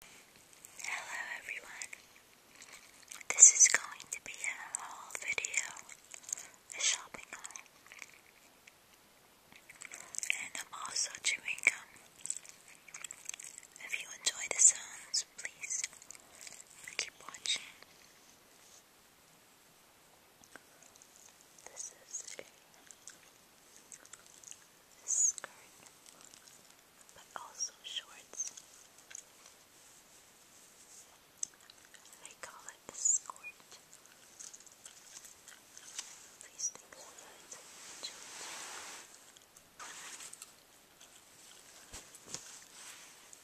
Hello everyone. This is going to be a haul video, a shopping haul. And I'm also chewing gum. If you enjoy the sounds, please keep watching. This is a skirt but also shorts. They call it a skirt. These things are good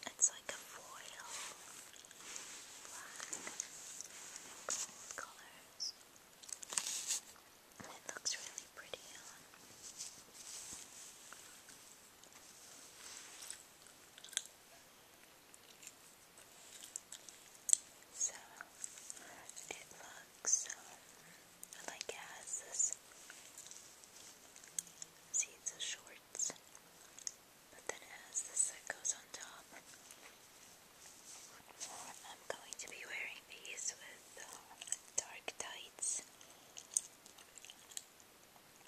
It's like a foil, black gold colors. It looks really pretty So it looks um, like it has this. See, it's shorts, but then it has this that goes on top. I'm going to be wearing these with um, dark tights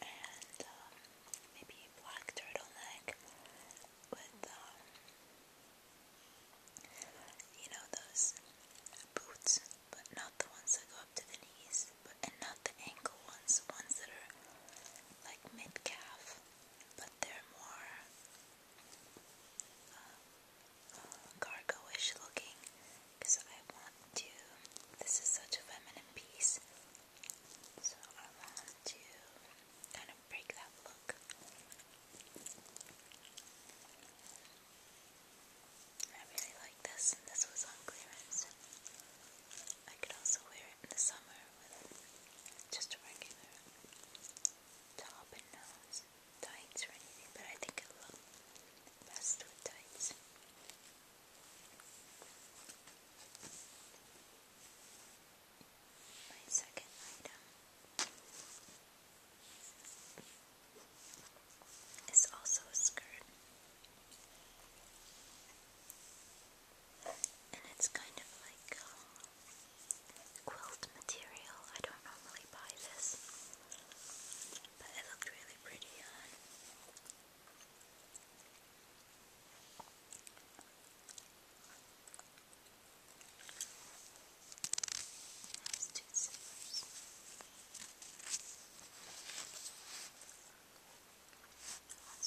and um, maybe a black turtleneck with um, you know those boots, but not the ones that go up to the knees, but and not the ankle ones, ones that are like mid calf, but they're more. Um, gargoyish looking because I want to. This is such a feminine piece, so I want to kind of break that look. I really like this, and this was on clearance. I could also wear it in the summer with just a regular top and nose tights or anything, but I think it will look best with tights. My second item is also a skirt. And it's kind of like um, material. I don't normally buy this. But it looked really pretty on. That's two zippers. Let's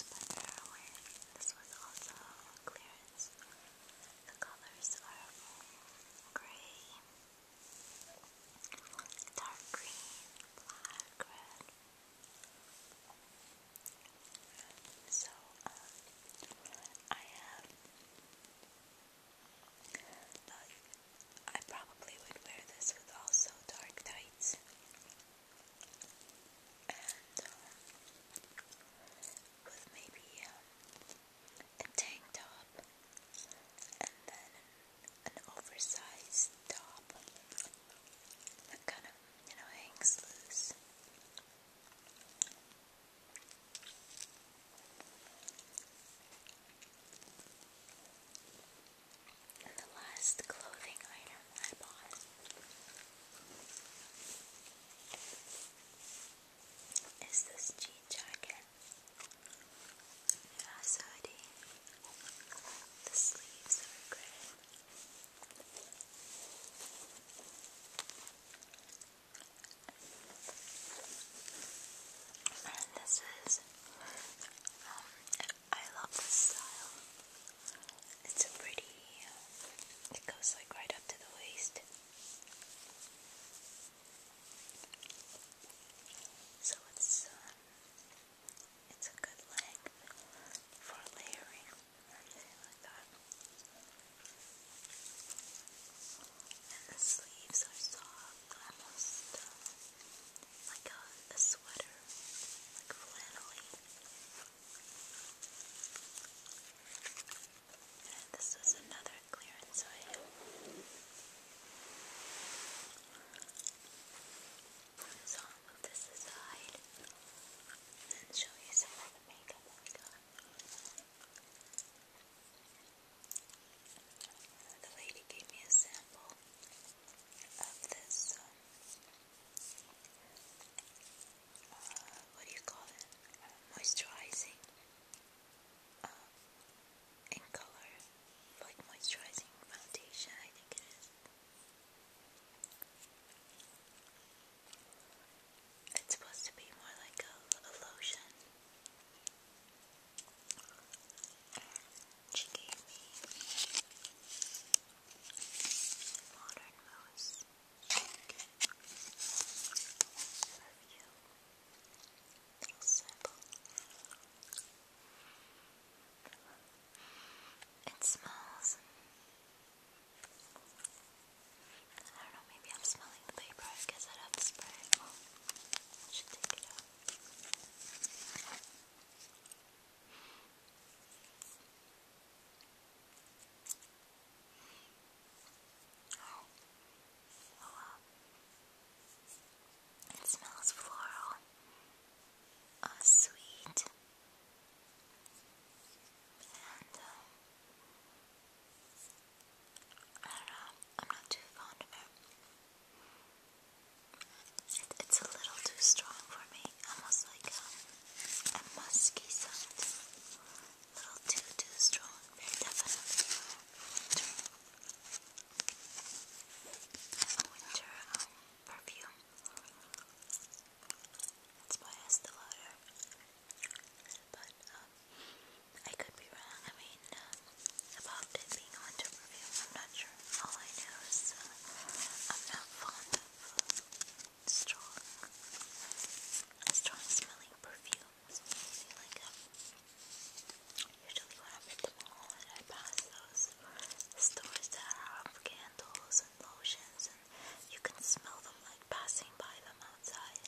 put her This was also clearance. The colors are gray dark green, black, red. So, um, I have. I probably would wear this with also dark tights. And um, with maybe um, a tank top, and then an, oversized top that kind of, you know, hangs loose. And the last clothing item I bought is this jean jacket. It hoodie. The sleeves are grey. And this is, um, I love this style. It's pretty, it goes like right up to the waist. So it's um, it's a good length for layering or anything like that. And the sleeves are soft, almost um, like a sweater, like flannelly. This was another clearance item. So i move this aside and show you some of the makeup I got. The lady gave me a sample of this, um, uh, what do you call it? Moisturizing um, in color, like moisturizing foundation, I think it is. It's supposed to be more like a, lotion. She gave me modern mousse. Perfume. Little It smells. I don't know, maybe I'm smelling the paper. I i have spray should take it out. It smells floral. Oh, sweet. And, um, I am not too fond of it. it's a little too strong for me, almost like a musky scent a little too, too strong, winter, perfume. That's why I still order. But um, I could be wrong. I mean, about it being winter perfume, I'm not sure. All I know is I'm not fond of strong, strong smelling perfume. Um, usually when I'm at the mall and I pass those stores that have candles and lotions and you can smell them like passing by them outside.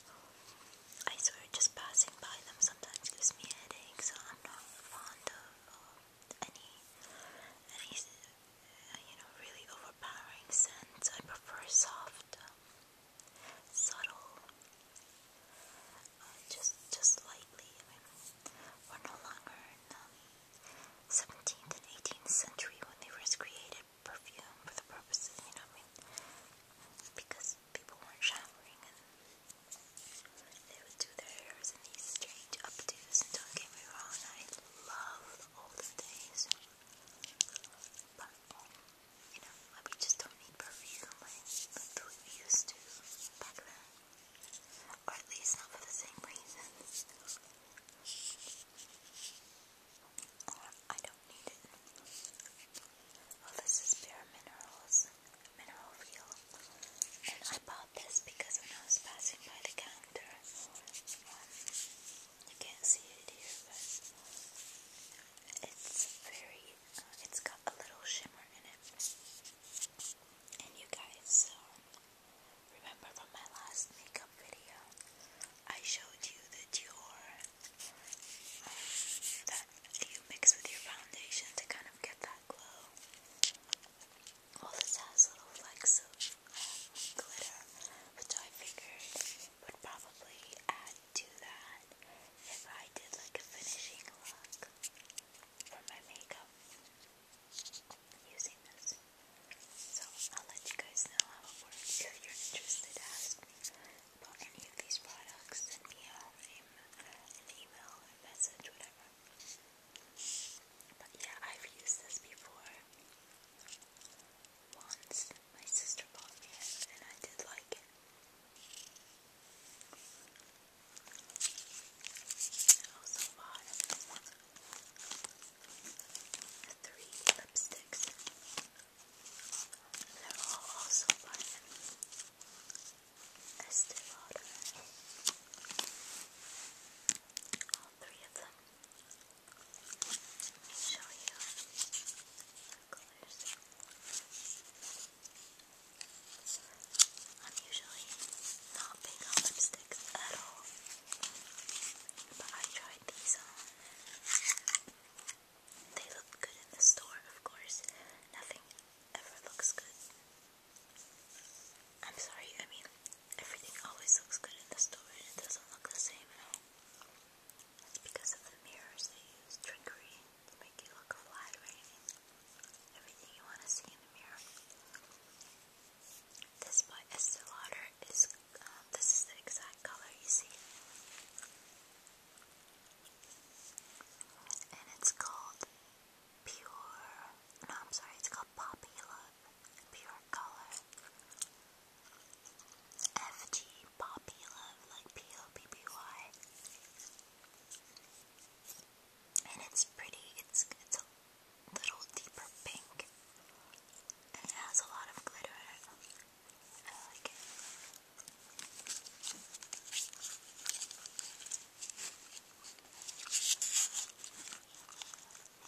I swear just passing by them sometimes gives me a so I'm not fond of um, any, any, you know, really overpowering scents. I prefer soft, um, subtle, uh, just just slightly. we're no longer in the 17th and 18th century when they were created perfume for the purposes, you know, because people weren't showering and they would do their hairs in these strange updos. don't get me wrong, I love the olden days, but um, you know, we just don't need perfume like, we used to back then. Or at least not for the same reasons. Or I don't need it. Well, this is Bare Minerals Mineral Feel. And I bought this because when I was passing by the counter, I can't see it here, but it's very, uh, it's got a little shimmer in it. And you guys um, remember from my last makeup video, I showed you the Dior um, that you mix with your foundation to kind of get that glow. Well, this has little flecks of um, glitter, which I figured would probably add to that if I did like a finishing look for my makeup using this. So I'll let you guys know how it works. If you're interested, ask me about any of these products, send me an email, a message, whatever. But yeah, I've used this before once. My sister bought me it and I did like it. also bought three lipsticks. They're all also by Estee Lauder. All three of them show you the colors. I'm usually not big on lipsticks at all, but I tried these on. They look good in the store, of course. Nothing ever looks good. I'm sorry, I mean, everything always looks good in the store and it doesn't look the same at now. It's because of the mirrors they use trickery to make you look flat or Everything you want to see in the mirror. This by Estee is, um, this is the exact color you see. And it's called Pure, no I'm sorry, it's called Popular pure color. FG Poppy Love, like P O P P Y. And it's pretty. It's it's a little deeper pink. it has a lot of glitter in it. like it. Let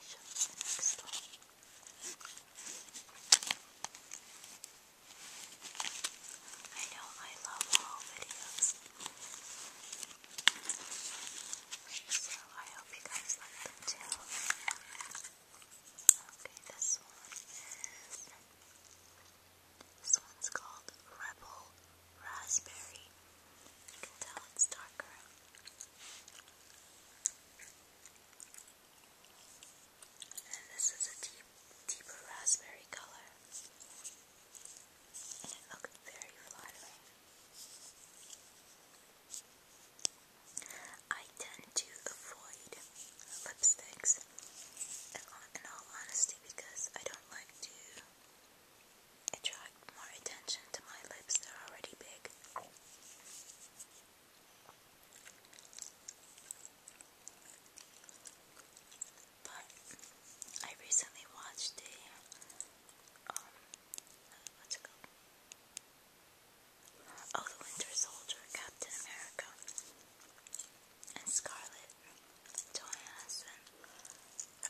me show you the next one. I know I love all videos. So I hope you guys like them too. Okay, this one is. This one's called Rebel Raspberry. You can tell it's darker. And this is a deep, deeper raspberry color. And it looks very flattering. I tend to avoid lipsticks, in all honesty, because I don't like to attract more attention to my lips. They're already big. But I recently watched a um, Oh, the Winter Soldier, Captain America, and Scarlet Johansson.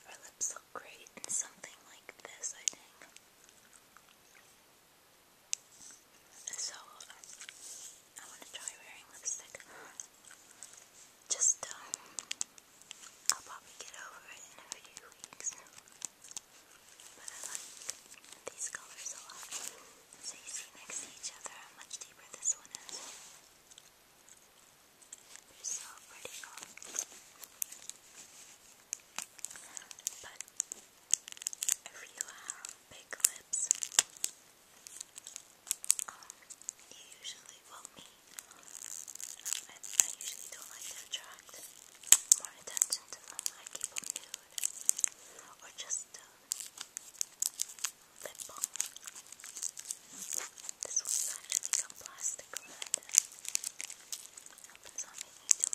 Her lips look great in something like this, I think. So, I want to try wearing lipstick. Just, um, I'll probably get over it in a few weeks. But I like these colors a lot. So you see each other much deeper this one is. They're so pretty if you have big lips, you usually, well me, I, I usually don't like to attract more attention to them, I keep them nude, or just uh, lip balm. This one's actually got plastic around it. Happens on me too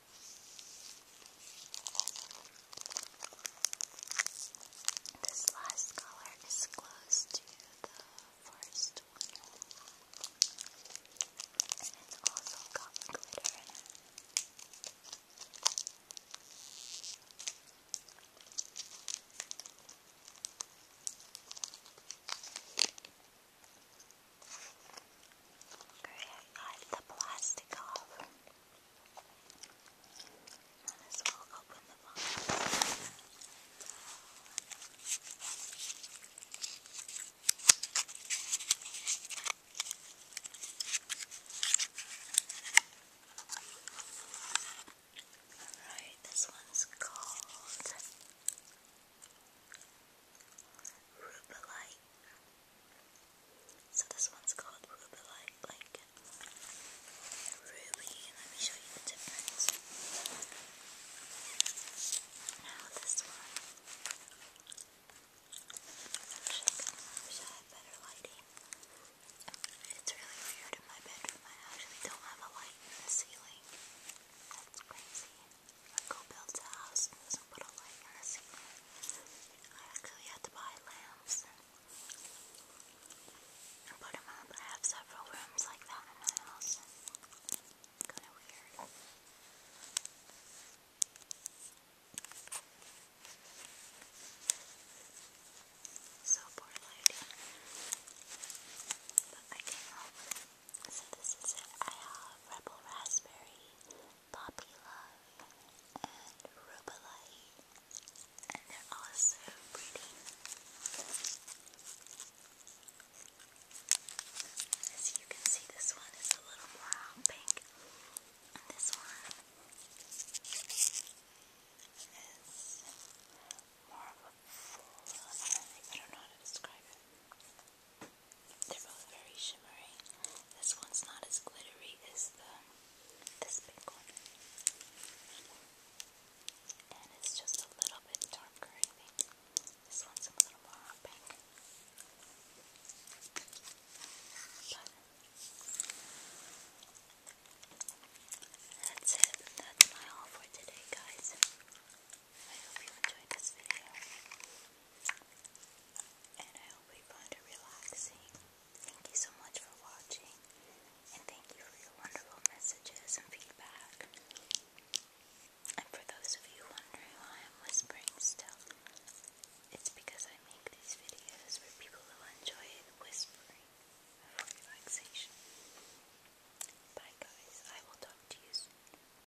This last color is close to the first one. And it's also got glitter Okay, I got the plastic off. Might as well open the box. Alright, this one's called Rubelite. So this one's called Rubelite, like ruby. Let me show you the difference. Now this one. I wish I had better lighting. It's really weird in my bedroom. I actually don't have a light in the ceiling. That's crazy. Like who a house and put a light in the I actually had to buy lamps and, put them up. I have several rooms like that in my house. Kind of weird. So poor lady. But I came So this is it. I have Rebel Raspberry Poppy Love, and Rubalai, and they're all pretty. As you can see, this one is a little more pink, and this one is more of a full, I don't know how to describe it. They're both very shimmery. This one's not as glittery as the this pink one. And it's just a little bit darker, This one's a little more pink. But that's it. That's my haul for today, guys. I hope you enjoyed this video. And I hope you found it relaxing. Thank you so much for watching. And thank you for your wonderful messages and feedback. And for those of you wondering why I'm whispering still, it's because I make these videos for people who enjoy whispering for relaxation. Bye guys, I will talk to you soon.